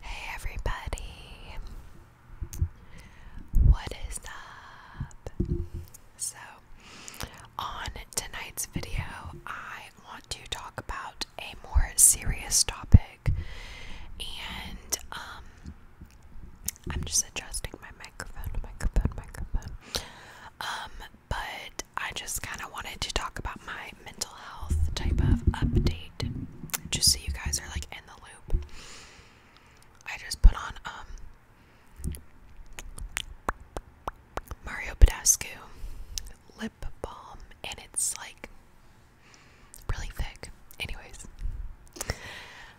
Hey everybody, what is up? So, on tonight's video, I want to talk about a more serious topic, and um, I'm just adjusting my microphone, microphone, microphone. Um, but I just kind of wanted to talk about my mental health type of update, just so you guys are like in the loop. I just put on um, Mario Badescu lip balm, and it's like really thick. Anyways,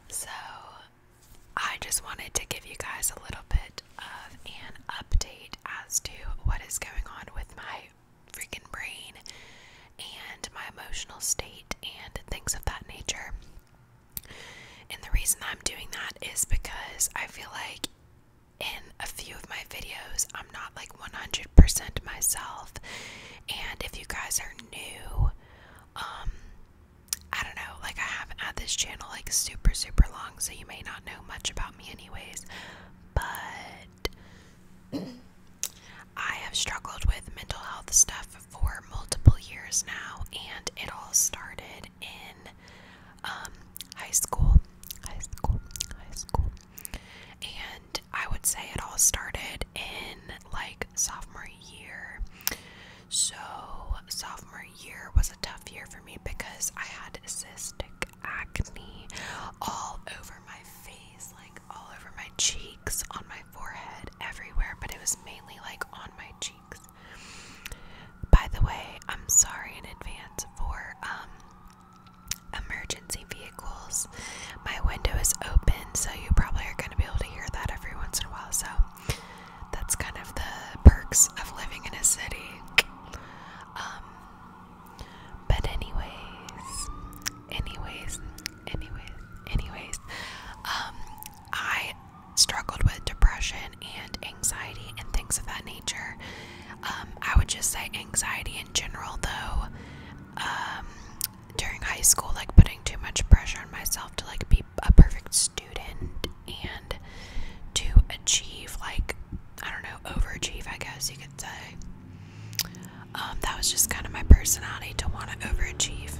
so I just wanted to give you guys a little bit of an update as to what is going on with my freaking brain and my emotional state and things of that nature. And the reason I'm doing that is because I feel like in a few of my videos, I'm not like 100% myself. And if you guys are new, um, I don't know, like I haven't had this channel like super, super long, so you may not know much about me, anyways. But I have struggled with mental health stuff for multiple years now, and it all started in um, high school. High school, high school. And I would say it all started in like sophomore year. So, sophomore year was a tough year for me because I had cystic acne all over my face, like all over my cheeks, on my forehead, everywhere, but it was mainly like on my cheeks. By the way, I'm sorry in advance for um, emergency vehicles. My window is open, so you probably are going to be able to hear that every once in a while. So that's kind of the perks of living in a city. Um, but anyways, anyways, anyways, anyways, um, I struggled with depression and anxiety and things of that nature. Um, I would just say anxiety in general, though. Um, during high school, like putting too much pressure on myself to like be a perfect student and to achieve like I don't know, overachieve, I guess you could say. Um, that was just kind of my personality to want to overachieve.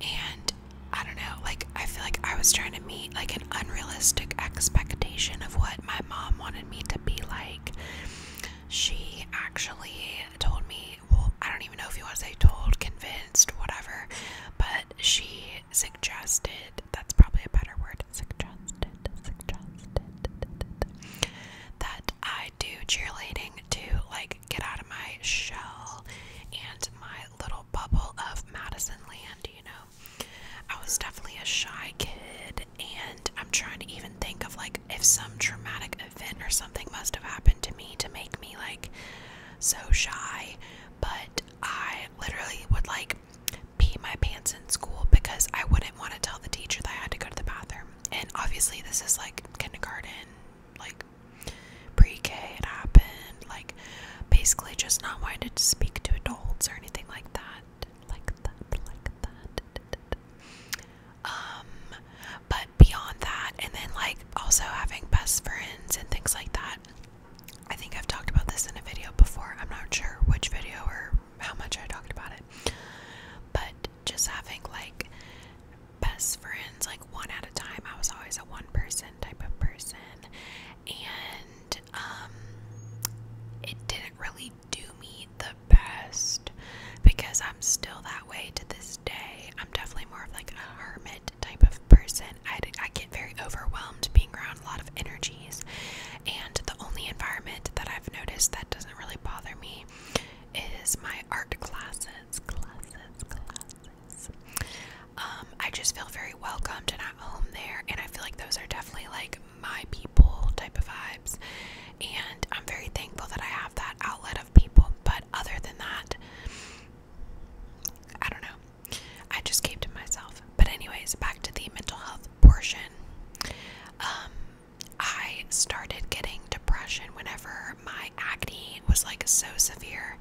And I don't know, like, I feel like I was trying to meet like an unrealistic expectation of what my mom wanted me to be like. She actually told me, well, I don't even know if you want to say told, convinced, whatever, but she suggested that's probably a better word suggested that I do cheerleading to like get out of my shell and my little bubble of Madison land, you know. I was definitely a shy kid and I'm trying to even think of like if some traumatic event or something must have happened to me to make me like so shy, but I literally would like pee my pants in school because I wouldn't want to tell the teacher that I had to go to the bathroom. And obviously, this is like kindergarten, like pre K, it happened. Like, basically, just not wanting to speak to adults or anything like that. Like that, like that. Um, but beyond that, and then like also having best friends and things like that, I think I've talked about this in a video before. I'm not sure which video or how much I talked about it. But just having like best friends, like one at a time, I was always a one person type of person. And um, it didn't really do me the best because I'm still that way to this day. I'm definitely more of like a hermit type of person. I, I get very overwhelmed being around a lot of energy trees. And the only environment that I've noticed that doesn't really bother me is my art classes, classes, classes. Um, I just feel very welcomed and at home there, and I feel like those are definitely like my people type of vibes. And I'm very thankful that I have that outlet of people, but other than that, I don't know. I just came to myself. But anyways, back to the mental health portion. Um, I started getting depression whenever my acne was like so severe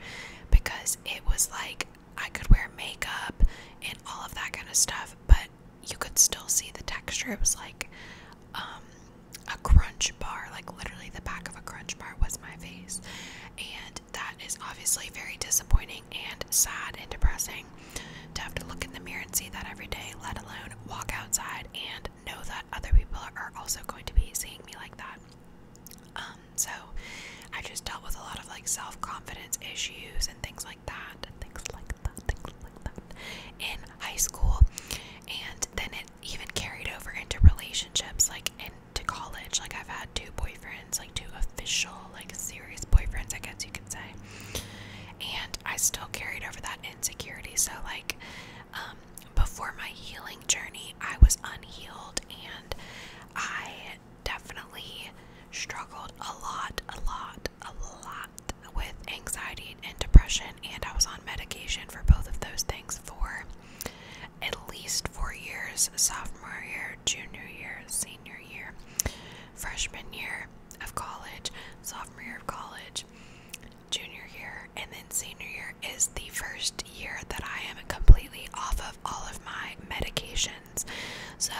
because it was like I could wear makeup and all of that kind of stuff, but you could still see the texture. It was like um, a crunch bar, like literally the back of a crunch bar was my face and that is obviously very disappointing and sad and depressing to have to look in the mirror and see that every day, let alone walk outside and know that other people are also going to be seeing me like that. Um, so I just dealt with a lot of like self confidence issues and things like that, things like that, things like that in high school, and then it even carried over into relationships. Like in to college. Like I've had two boyfriends, like two official, like serious boyfriends, I guess you could say. And I still carried over that insecurity. So like um, before my healing journey, I was unhealed and I definitely struggled a lot, a lot, a lot with anxiety and depression and I was on medication for both of those things for at least 4 years. So sophomore year, junior year, senior year, freshman year of college, sophomore year of college, junior year, and then senior year is the first year that I am completely off of all of my medications. So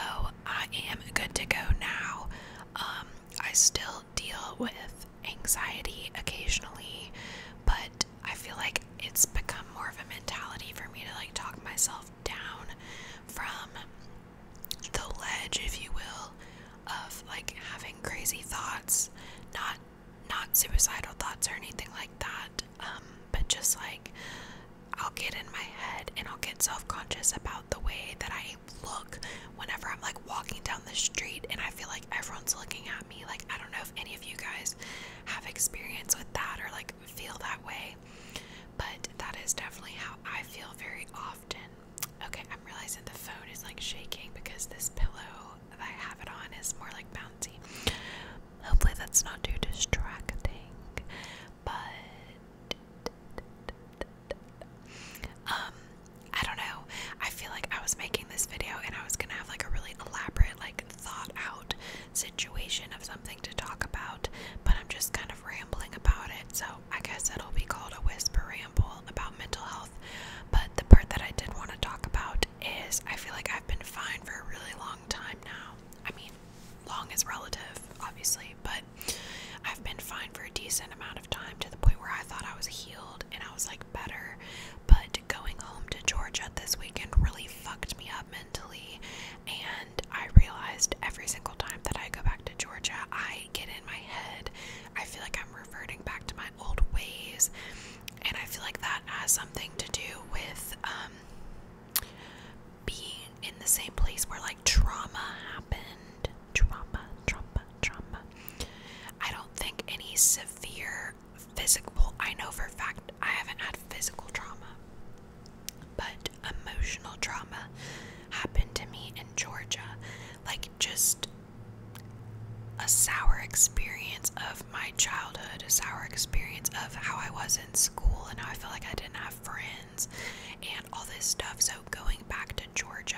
I am good to go now. Um, I still deal with anxiety occasionally, but I feel like it's become more of a mentality for me to like talk myself down from the ledge, if you will, of like having crazy thoughts, not not suicidal thoughts or anything like that, um, but just like I'll get in my head and I'll get self-conscious about the way that I look whenever I'm like walking down the street and I feel like everyone's looking at me. Like I don't know if any of you guys have experience with that or like feel that way, but that is definitely how I feel very often. Okay, I'm realizing the phone is like shaking because this pillow that I have it on is more like bouncy. Hopefully, that's not too distracting, but. Um, I don't know. I feel like I was making this video and I was gonna have like a really elaborate, like thought out situation of something to talk about, but I'm just kind of rambling about it. So I guess it'll be called a whisper ramble about mental health. But the part that I did want to talk about is I feel like I've been fine for a really long time now. I mean, long is relative, obviously, but I've been fine for a decent amount of time to the point where I thought I was healed and I was like better. But going home to Georgia this weekend really fucked me up and I realized every single time that I go back to Georgia, I get in my head. I feel like I'm reverting back to my old ways. And I feel like that has something to do with um, being in the same place where like trauma happened. Trauma, trauma, trauma. I don't think any severe physical, I know for a fact I haven't had physical trauma, but emotional trauma happened to me in Georgia. Like, just a sour experience of my childhood, a sour experience of how I was in school and how I felt like I didn't have friends and all this stuff. So, going back to Georgia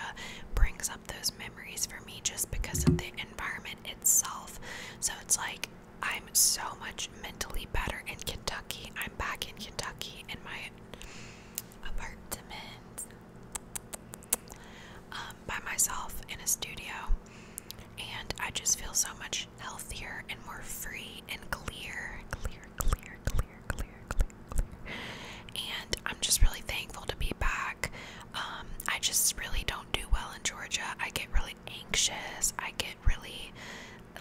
brings up those memories for me just because of the environment itself. So, it's like I'm so much mentally better in Kentucky. I'm back in Kentucky in my apartment um, by myself in a studio, and I just feel so much healthier and more free and clear, clear, clear, clear, clear, clear, clear. And I'm just really thankful to be back. Um, I just really don't do well in Georgia, I get really anxious. I get really,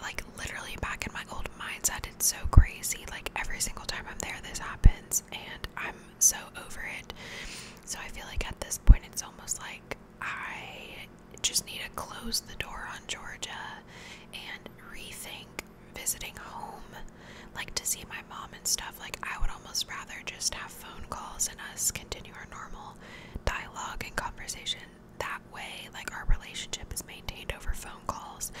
like, literally back in my old mindset. It's so crazy. Like, every single time I'm there, this happens, and I'm so over it. So, I feel like at this point, it's almost like I just need to close the door on Georgia and rethink visiting home, like to see my mom and stuff. Like, I would almost rather just have phone calls and us continue our normal normal dialogue and conversation that way. Like our relationship is maintained over phone calls,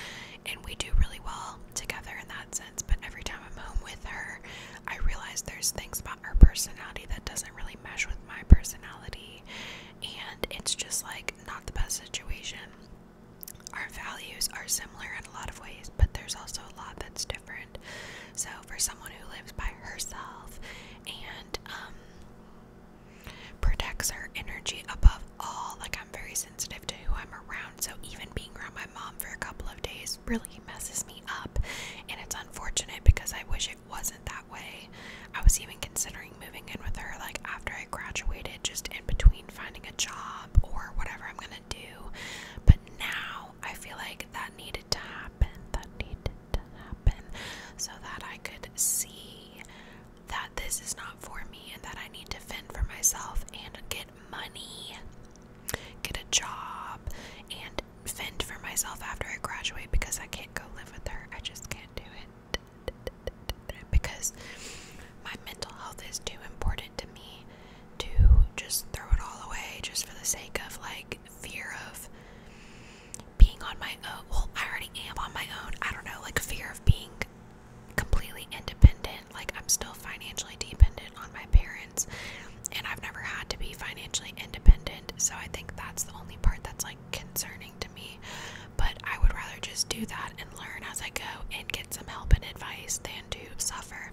and we do really well together in that sense. But every time I'm home with her, I realize there's things about her personality that doesn't really mesh with my personality, and it's just like not the best situation. Our values are similar in a lot of ways, but there's also a lot that's so for someone who lives by herself and um, protects her energy above all, like I'm very sensitive to who I'm around. So even being around my mom for a couple of days really messes me up, and it's unfortunate because I wish it wasn't that way. I was even considering moving in with her, like after I graduated, just in between finding a job or whatever I'm gonna do. But now I feel like that needed to happen. That needed happen so that I could see that this is not for me and that I need to fend for myself and get money, get a job, and fend for myself after I graduate because I can't go live with her. I just can't do it. Because my mental health is too important to me to just throw it all away just for the sake of like fear of being on my own. Well, I already am on my own. I don't know, like fear of being completely independent. Like I'm still financially dependent on my parents, and I've never had to be financially independent. So I think that's the only part that's like concerning to me. But I would rather just do that and learn as I go and get some help and advice than to suffer.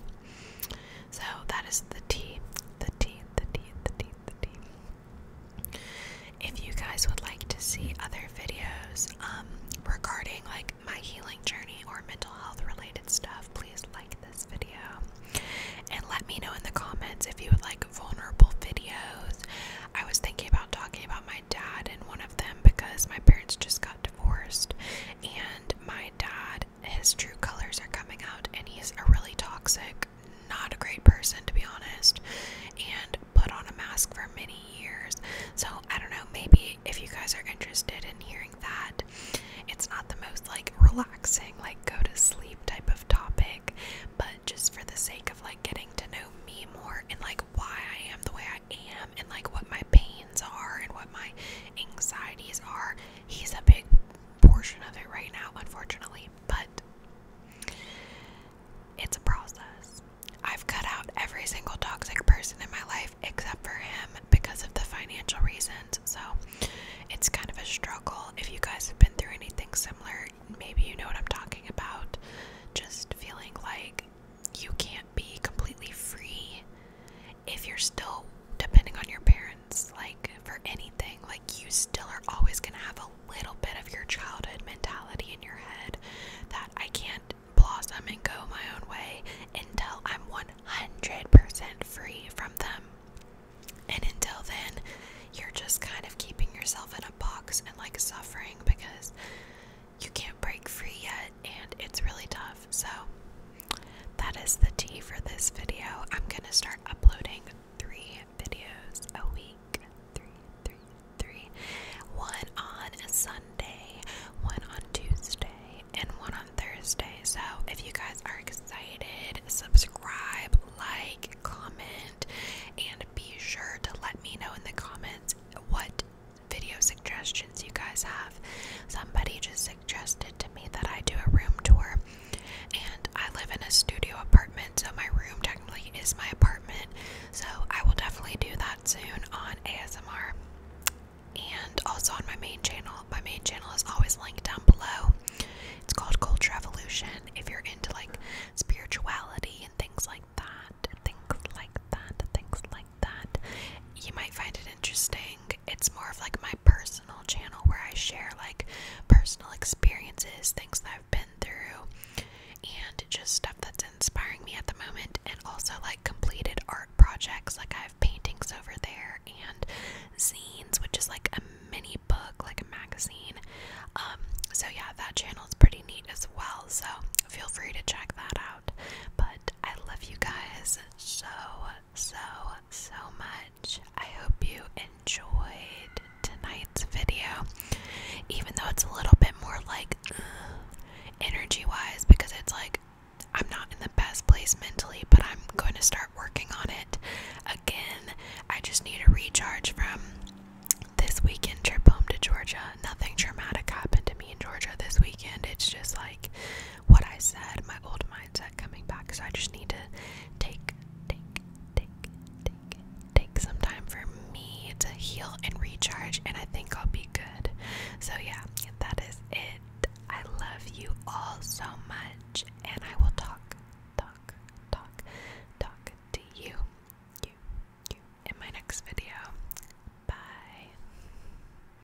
So that is the tea, the tea, the tea, the tea, the tea. If you guys would like to see other videos um, regarding like my healing journey or mental health related stuff, please like this video and let me know in the comments if you would like vulnerable videos. I was thinking about talking about my dad in one of them because my parents just got divorced and my dad his true colors are coming out, and he's a really toxic, not a great person to be honest, and put on a mask for many years. So I don't know, maybe if you guys are interested in hearing that, it's not the most like relaxing, like go to sleep type of topic, but just for the sake of like getting to know me more and like why I am the way I am and like what my pains are and what my anxieties are, he's a big portion of it right now, unfortunately, but it's a process. I've cut out every single toxic person in my life except for him because of the financial reasons. So it's kind of a struggle. If you guys have been through anything similar, maybe you know what I'm talking about. Just feeling like you can't be completely free if you're still depending on your parents like for anything. Like, you still are always going to have a little bit of your childhood mentality in your head that I can't blossom and go my own way until I'm 100% free from them. And until then, you're just kind of keeping yourself in a box and like suffering because you can't break free yet and it's really tough. So, that is the tea for this video. I'm gonna start uploading three videos a week. Three, three, three. One on a Sunday, one on Tuesday, and one on Thursday. So if you guys are excited, subscribe, like, comment, and be sure to let me know in the comments what video suggestions you guys have. Somebody just suggested to me that I do a room tour. And I live in a studio apartment, so my room technically is my apartment. So I will definitely do that soon on ASMR and also on my main channel. My main channel is always linked down below. It's called Culture Revolution. If you're into like spirituality and things like that, things like that, things like that, you might find it interesting it's more of like my personal channel where I share like personal experiences, things that I've been through, and just stuff that's inspiring me at the moment, and also like completed art projects. Like I have paintings over there and scenes, which is like a mini book, like a magazine. Um, so yeah, that channel is pretty neat as well. So feel free to check that out. But I love you guys so so, so much. I hope you enjoyed tonight's video, even though it's a little bit more like uh, energy wise, because it's like I'm not in the best place mentally, but I'm going to start working on it again. I just need a recharge from this weekend trip home to Georgia. Nothing traumatic happened to me in Georgia this weekend. It's just like what I said, my old mindset coming back. So I just need to take, take, take, take, take some time for me to heal and recharge, and I think I'll be good. So yeah, that is it. I love you all so much, and I will talk, talk, talk, talk to you, you, you in my next video. Bye.